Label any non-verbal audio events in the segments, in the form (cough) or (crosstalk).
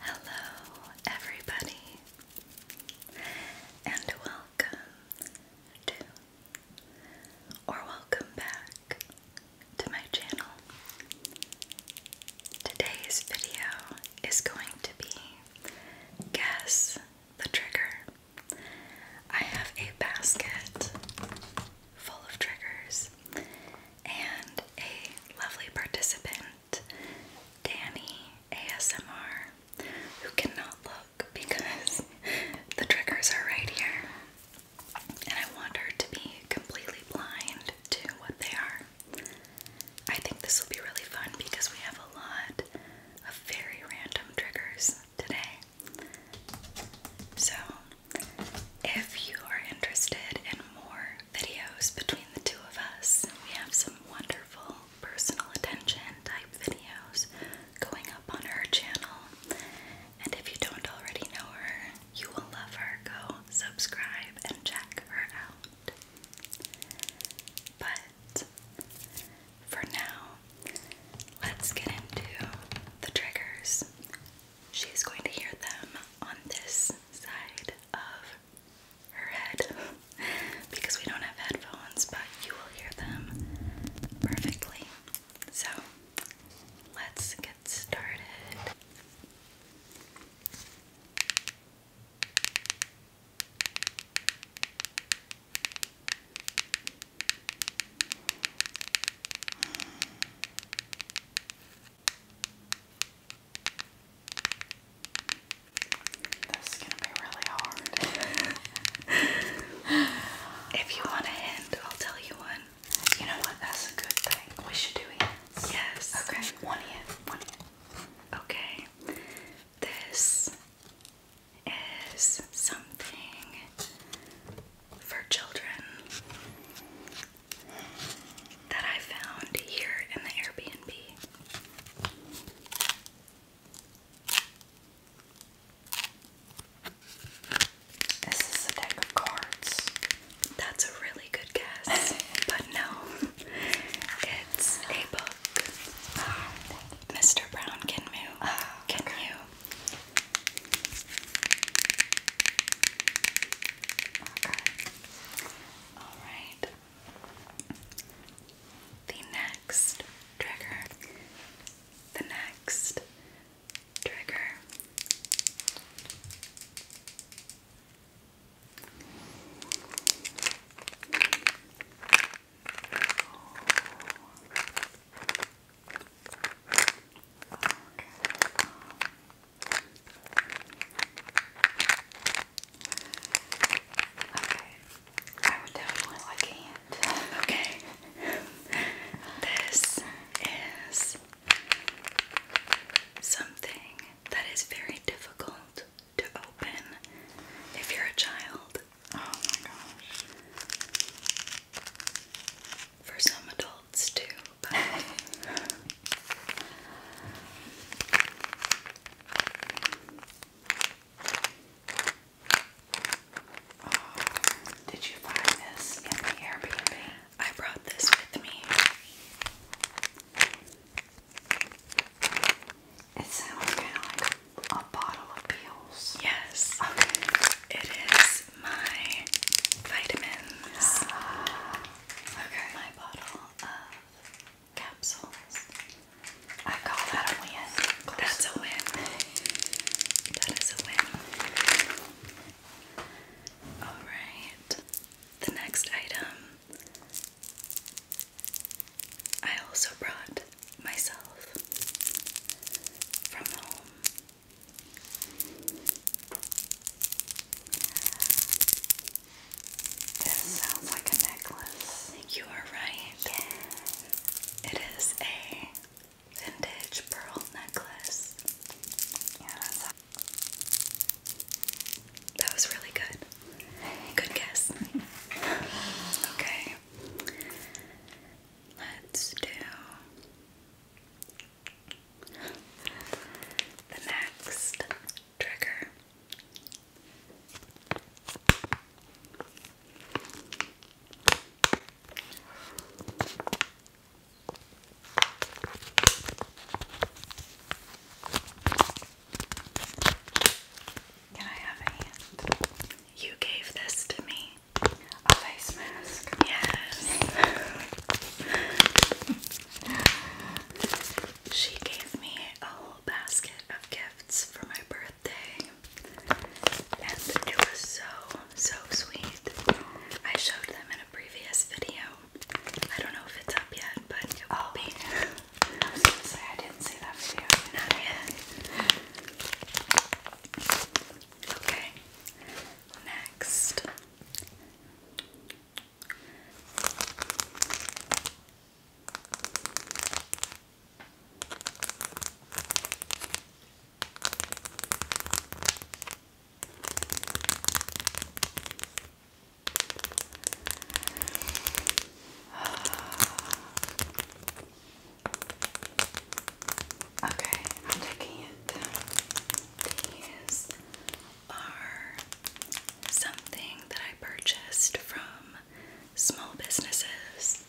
Hello, everybody, and welcome to or welcome back to my channel. Today's video is going to be Guess the Trigger. I have a basket full of triggers and a lovely participant, Danny ASMR, who cannot look because (laughs) the triggers are right here. And I want her to be completely blind to what they are. I think this will be really fun because we have a lot of very random triggers today. So, if you are interested in more videos between the two of us. We have some wonderful personal attention type videos going up on her channel. And if you don't already know her, you will love her. Go subscribe and check her out. But for now, let's get into the triggers. She's going to hear them on this side of her head because we don't have headphones, but you will hear them perfectly. So let's get started. This is gonna be really hard. (laughs) if you want a hint, I'll tell you one. You know what? That's a good thing. We should do hints. Yes. Okay. One hint. One hint. Okay. This is something for children that I found here in the Airbnb. This is a deck of cards. That's a really good guess, (laughs) but no. It's a book. Mr. Brown can move. Alright. The next trigger. The next trigger. Oh. Okay. I would definitely like a (laughs) Okay. this is something that is very difficult to open if you're a child. Oh my gosh. For some adults too, but (laughs) Oh, did you find this in the Airbnb? I brought this with me. It sounds kind of like a bottle of pills. Yes. Okay. It is my vitamins. Ah. Okay. My bottle of capsules. I call that a win. That's a win. That is a win. Alright. The next item. I also brought myself from home. This sounds like a necklace. You are right. It is a vintage pearl necklace. Yeah, that's that was really good. Good guess. (laughs) okay. Let's do the next trigger. Can I have a hand? You gave this to me. A face mask. Yes. (laughs) she gave me a whole basket of gifts for my birthday, and it was so, so sweet. I showed them in a previous video. I don't know if it's up yet, but it will be. Oh. I Okay. Next, (sighs) Okay, I'm taking it. These are something that I purchased from small businesses.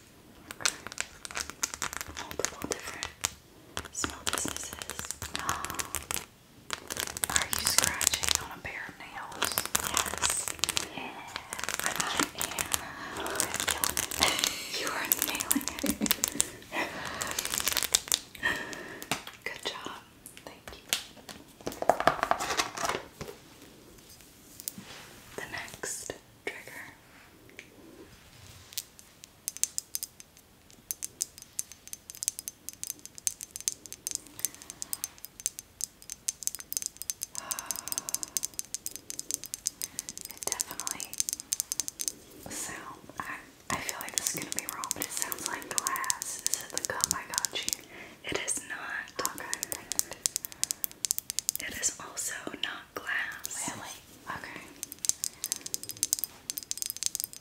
Multiple different small businesses. (gasps) Are you scratching on a pair of nails? Yes. Yeah. I you are nailing it. (laughs) Good job. Thank you. The next trigger it definitely sound I I feel like this is gonna be wrong, but it sounds like glass. Is it the cup I got you? It is not. Okay. It is also not glass. Okay.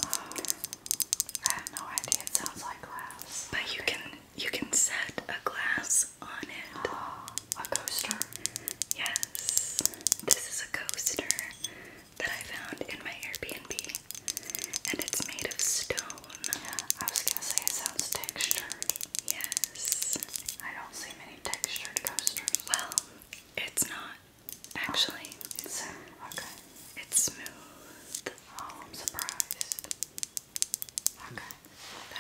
Oh, I have no idea. It sounds like glass. But you can you can set a glass on it. (gasps) a coaster. Yes. This is a coaster that I found in my Airbnb and it's made of stone. I was gonna say it sounds textured. Yes. I don't see many textured coasters. Well, it's not actually. it's okay. It's smooth. Oh, I'm surprised. Okay.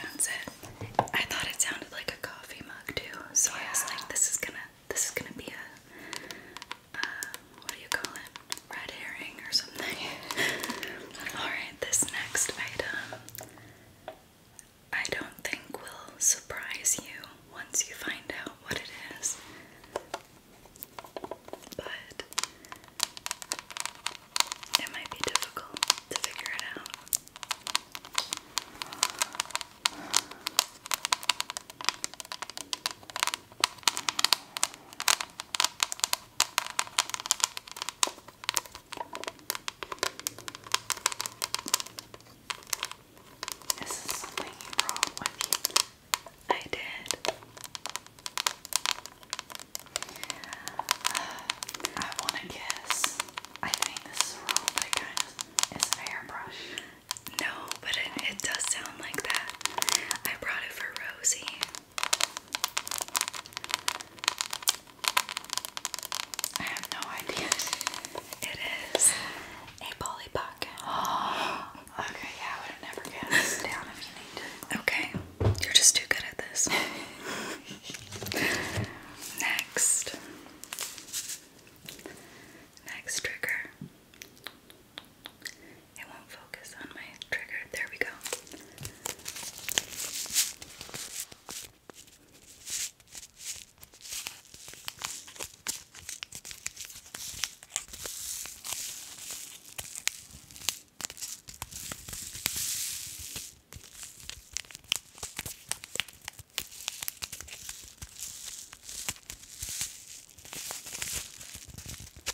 That's it. I thought it sounded like a coffee mug too, so I was like, this is gonna, this is gonna be a, what do you call it? Red herring or something. (laughs) Alright, this next item I don't think will surprise you once you find out what it is. But it might be difficult to figure it out. This is something you with you. I did. I want to guess. I think this is wrong, but I kind of is a hairbrush. No, but it does sound like that. I brought it for Rosie. I have no idea. (laughs) It is a Polly (gasps) okay, yeah, I would have never guessed. (laughs) down if you need to. Okay, you're just too good at this. (laughs) Next. Next trigger. It won't focus on my trigger. There we go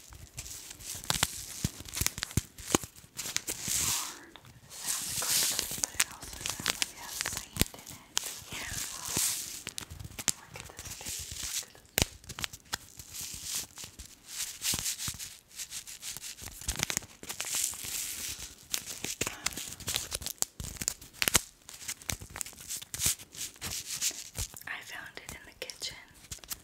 sounds crinkly, but it also sounds like it has sand in it. Yeah. look at this piece. I found it in the kitchen.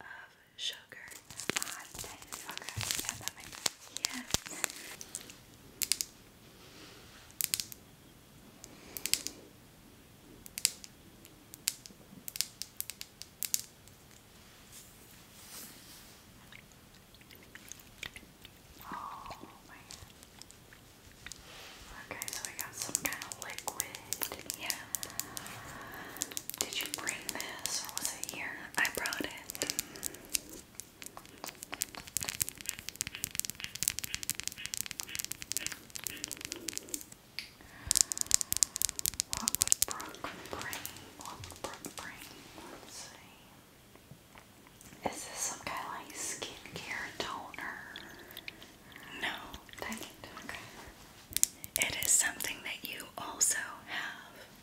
of sugar Okay, yeah, that makes sense. Oh, okay, so we got some kind of liquid. Yeah. Did you bring this or was it here? I brought it. What would Brooke bring? What would Brooke bring? Let's see. Is this some kind of skincare toner? No. Dang it. It is something that you also have.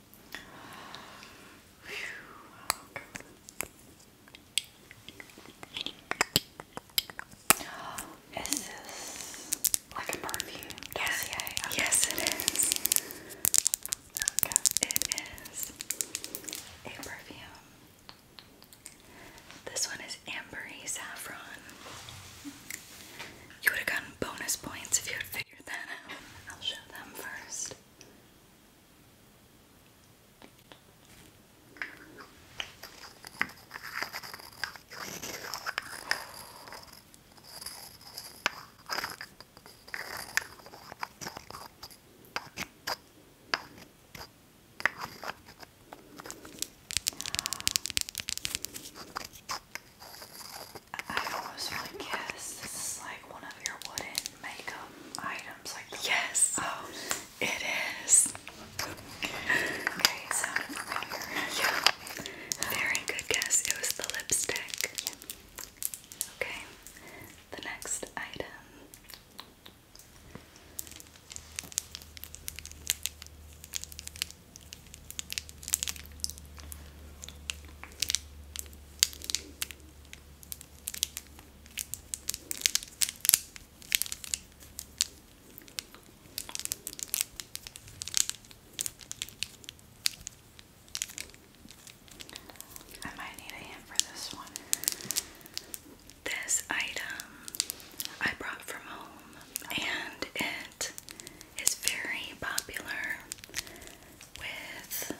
Is this like a perfume? Yes, okay. yes, it is. It is a perfume. This one is Ambery Saffron. You would have gotten bonus points if you had figure that out. I'll show them first. I almost want this is like one of your wooden makeup items. Like yes, oh, it is. Okay, it very good guess. It was the lipstick. Okay, the next item. I might need a hand for this one. This item I brought from home, and it is very popular with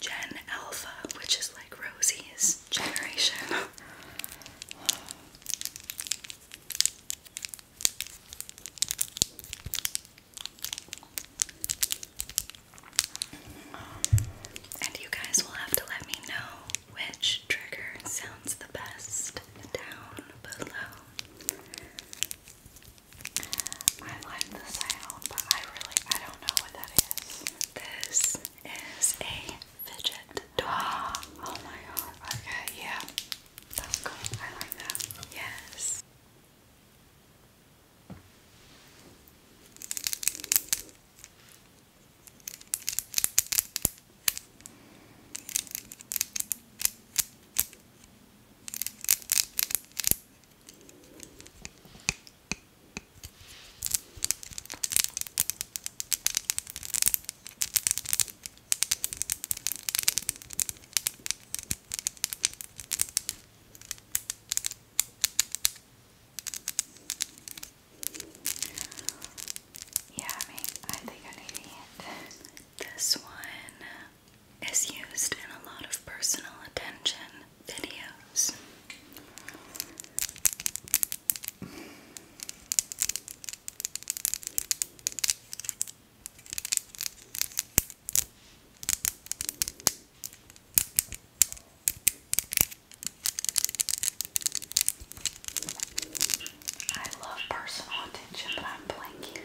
Gen Alpha, which is like Rosie's generation. And you guys will have to let me know which trigger sounds the best down below. I like the sound, but I really I don't know what that is. This is a fidget toy. Oh, oh my god. Okay, yeah. That's cool. I like that. Yes. Yeah, I mean, I think I need to this one is used in a lot of personal attention videos. I love personal attention, but I'm blanking.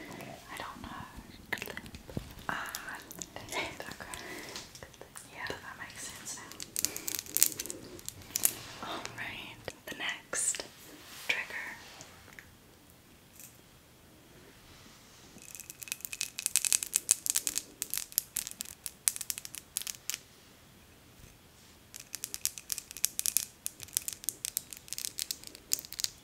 I don't know clip. Ah, Yeah, that makes sense now. Alright, the next trigger. Is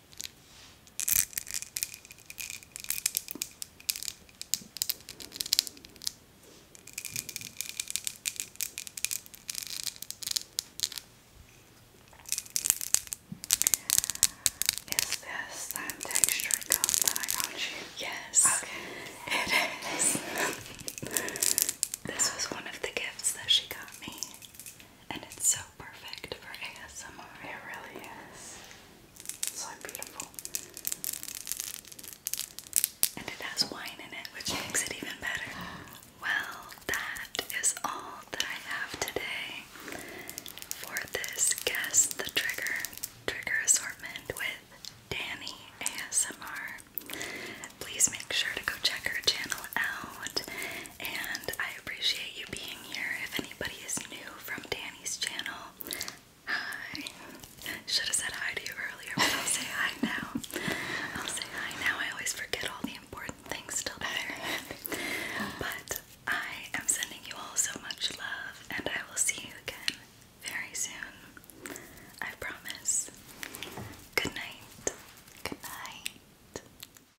this that texture cup that I got you? Yes. Okay. It is. (laughs) this was one of the gifts that she got me and it's so perfect for ASMR. It really is. So beautiful. And it has wine in it, which makes it even better. Well, that is all that I have today for this Guess the Trigger trigger assortment with Danny ASMR. Please make sure to go check her channel out and I appreciate you being here. If anybody is new from Danny's channel, hi. Should have said hi to you earlier, I'll say hi now. I'll say hi now. I always forget all the important things still there. But I am sending you all so much love, and I will see you again very soon. I promise. Good night. Good night.